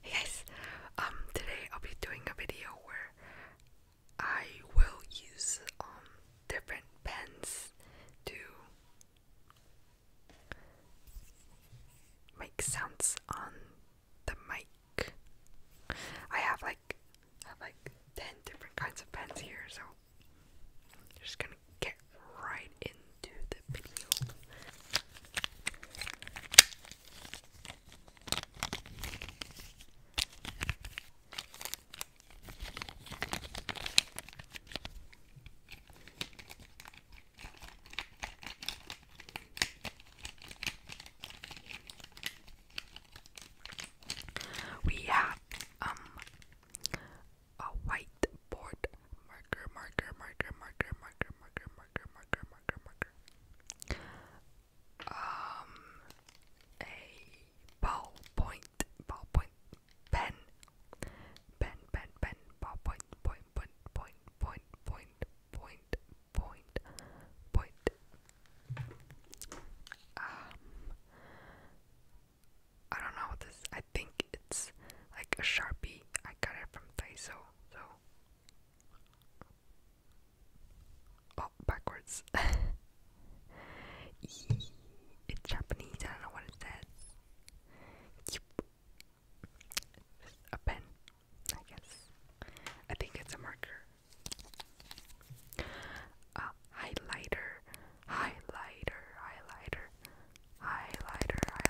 Hey guys, um, today I'll be doing a video where I will use um different pens to make sounds on the mic. I have like I have like ten different kinds of pens here, so just gonna get right into the video. We have um a whiteboard marker marker marker marker marker marker marker marker marker um, a ballpoint, ballpoint pen, pen, pen, pen, ballpoint, point, point, point, point, point, point, point, point. Um, I don't know what this. I think it's like a sharpie. I got it from Daiso, so Oh, backwards. it's Japanese, I don't know what it says. a pen, I guess. I think it's a marker. A highlighter, highlighter, highlighter, highlighter,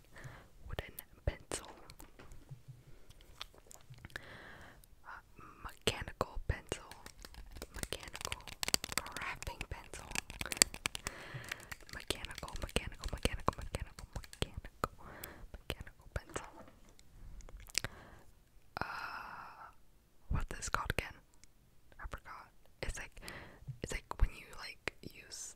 wooden pencil. Uh, mechanical pencil, mechanical crafting pencil, mechanical, mechanical, mechanical, mechanical, mechanical, mechanical pencil. Uh, what's this called again? I forgot. It's like, it's like when you like use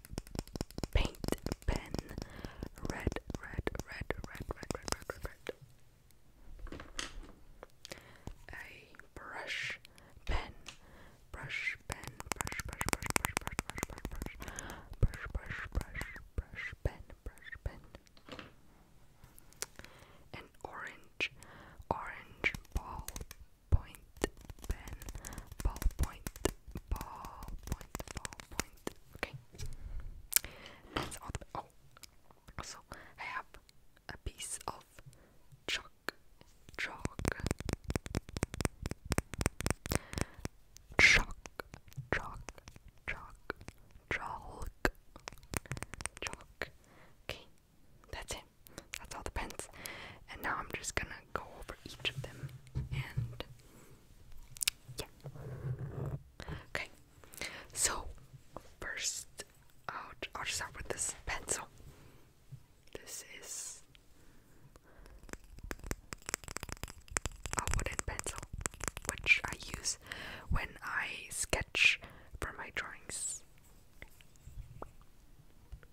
paint pen. Red, red, red, red, red, red, red, red, red. A brush pen. Brush pen. Brush, brush, brush, brush, brush, brush, brush, brush. Brush, brush, brush, brush, pen, brush, pen. An orange, orange ball point pen, ballpoint, ballpoint, ballpoint. Okay, that's all. oh, also I have a piece of chalk, chalk, chalk, chalk, chalk, chalk. Okay, that's it. That's all the pens. And now I'm just gonna go over each of them and yeah. Okay, so first i I'll just start with this pencil. This is a wooden pencil which I use when I sketch for my drawings.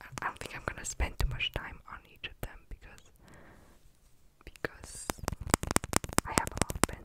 I don't think I'm gonna spend too much time on each of them because because I have a lot of pens.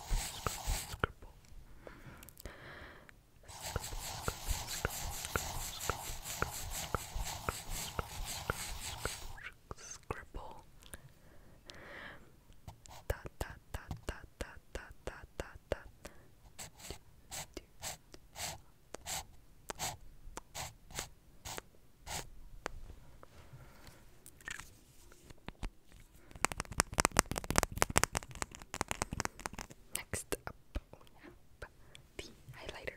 scribble, scribble, scribble. Scribble. Dot dot dot dot dot dot dot dot dot. Next up, oh, the highlighter.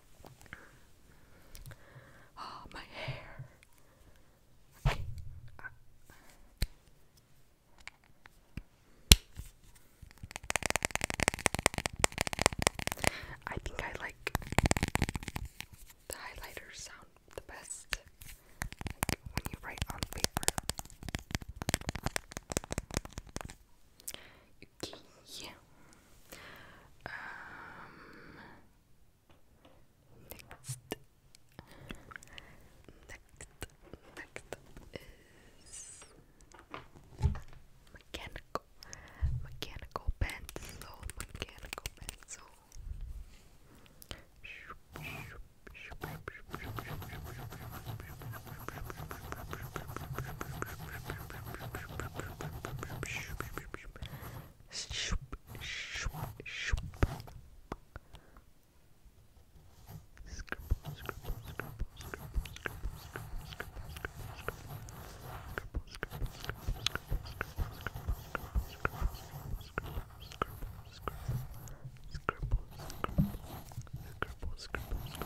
Oh, my hair. Okay. I think I like the highlighter sound the best when you write on paper. Okay, Um Next, next, next is mechanical, mechanical pencil, mechanical pencil. Shoop, shoop, shoop. Scribble, scribble, scribble, scribble, scribble, scribble, scribble, scribble, scribble, scribble,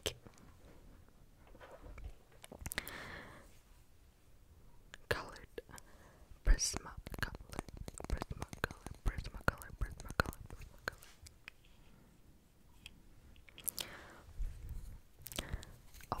Okay. Colored prismacolor, prismacolor, prismacolor, prismacolor, prismacolor. Oh.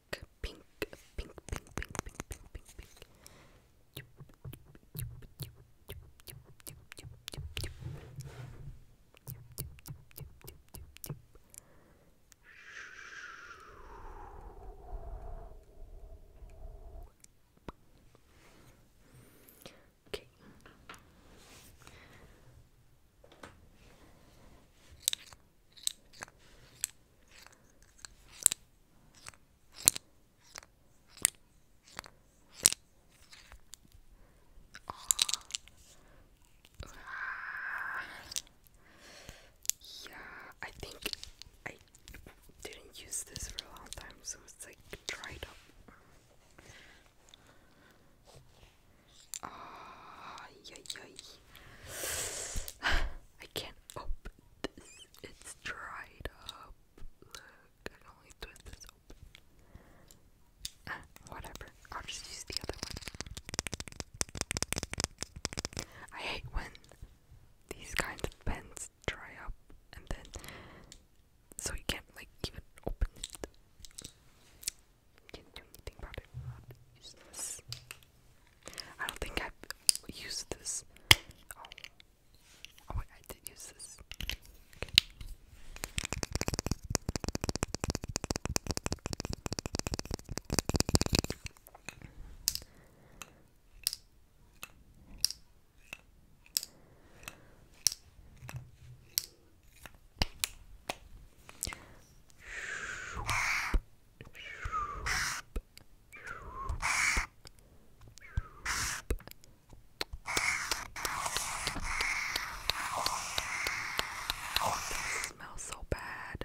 pink, pink, pink, pink, pink, pink, pink, pink. Okay. Yeah, I think I didn't use this for a long time, so it's like dried up. Ah, uh, yay, I can't open oh. It's dried up. Look, I can only twist this open. Ah, whatever. I'll just use the other one. I hate when these kinds of pens dry up and then so you can't like even open it. You can't do anything about it. Useless. I don't think I've used this. Oh, oh I did use this. Oh, this smells so bad.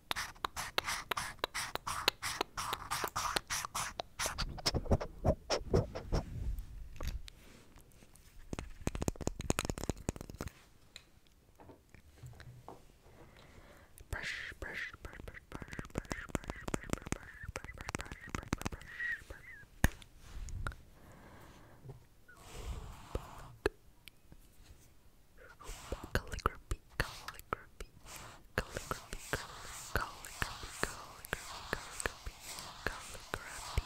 Brush, brush, brush, brush, brush, brush, brush, brush, brush, brush, brush, brush, brush, brush, brush. Calligraphy, calligraphy, calligraphy, calligraphy, calligraphy, calligraphy, calligraphy. Calligraphy.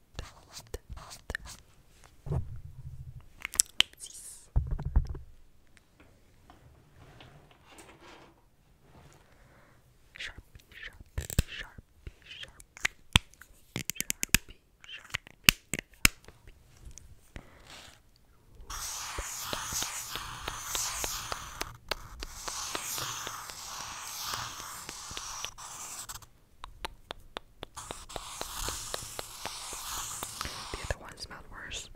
6 Sharpie, Sharpie, Sharpie, Sharpie, Sharpie, Sharpie, Sharpie. The other one smelled worse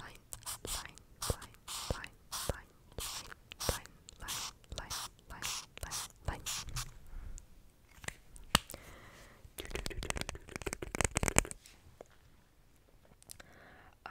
line, line, line, line, line, line, line, line, line, line, line. Uh,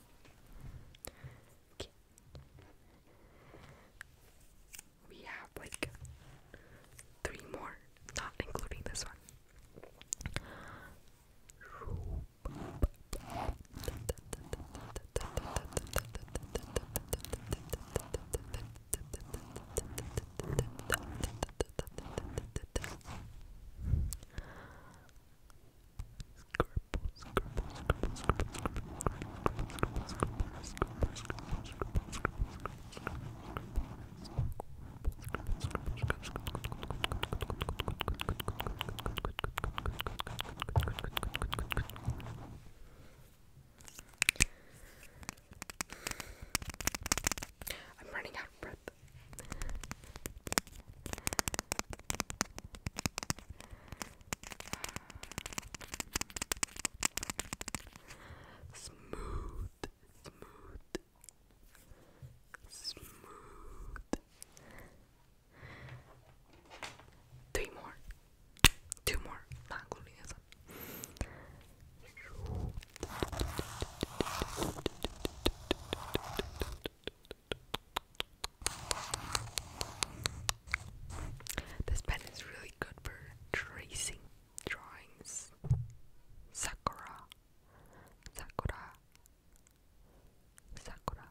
Okay. We have like three more, not including this one. I'm running out of breath Smooth, smooth, smooth. Three more, two more, not including this one. This pen is really good for tracing drawings. Sakura, Sakura, Sakura.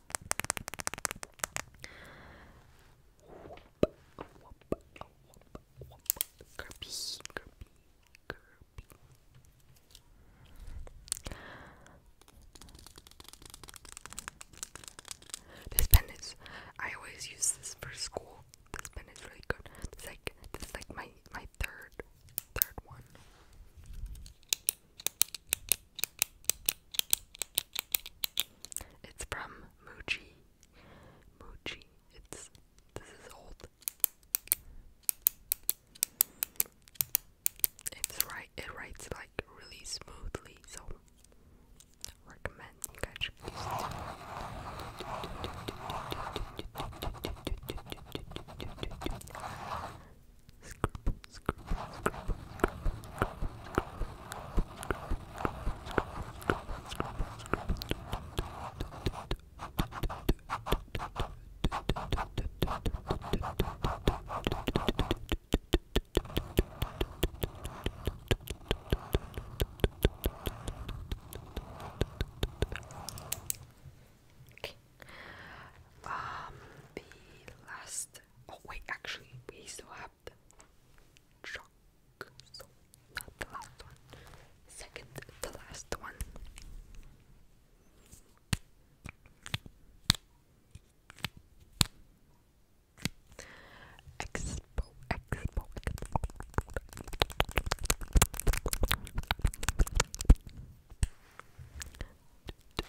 Kirby, Kirby, This pen is. I always use this for school. This pen is really good. It's like this like my my third third one. It's from Muji. Muji. It's this is old. It's right it writes like really smoothly, so recommend you guys use it. Okay. Um, the last. Oh wait, actually, we still have depth shock. So not the last one. Second the last one. Expo, expo, expo.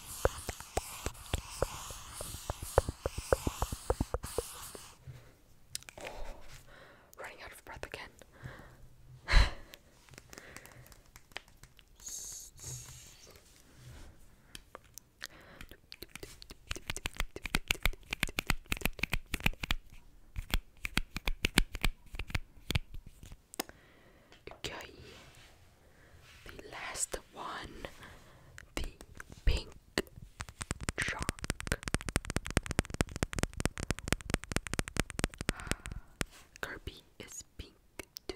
running out of breath again. Okay the last one, the pink chalk. Ah, Kirby is pink too.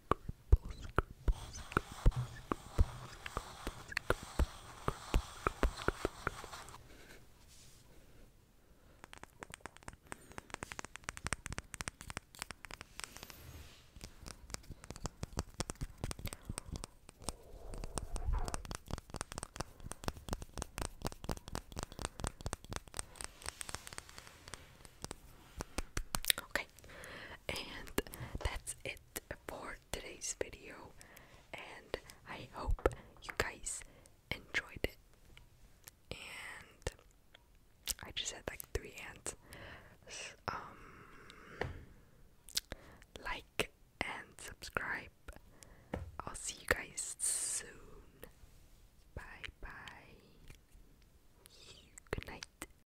Scribbles, scribbles, scribbles, scribbles, scribbles, Okay, and that's it for today's video. And I hope you guys enjoyed it. And I just had like three ants. Um, like and subscribe. I'll see you guys soon. Bye bye. Good night.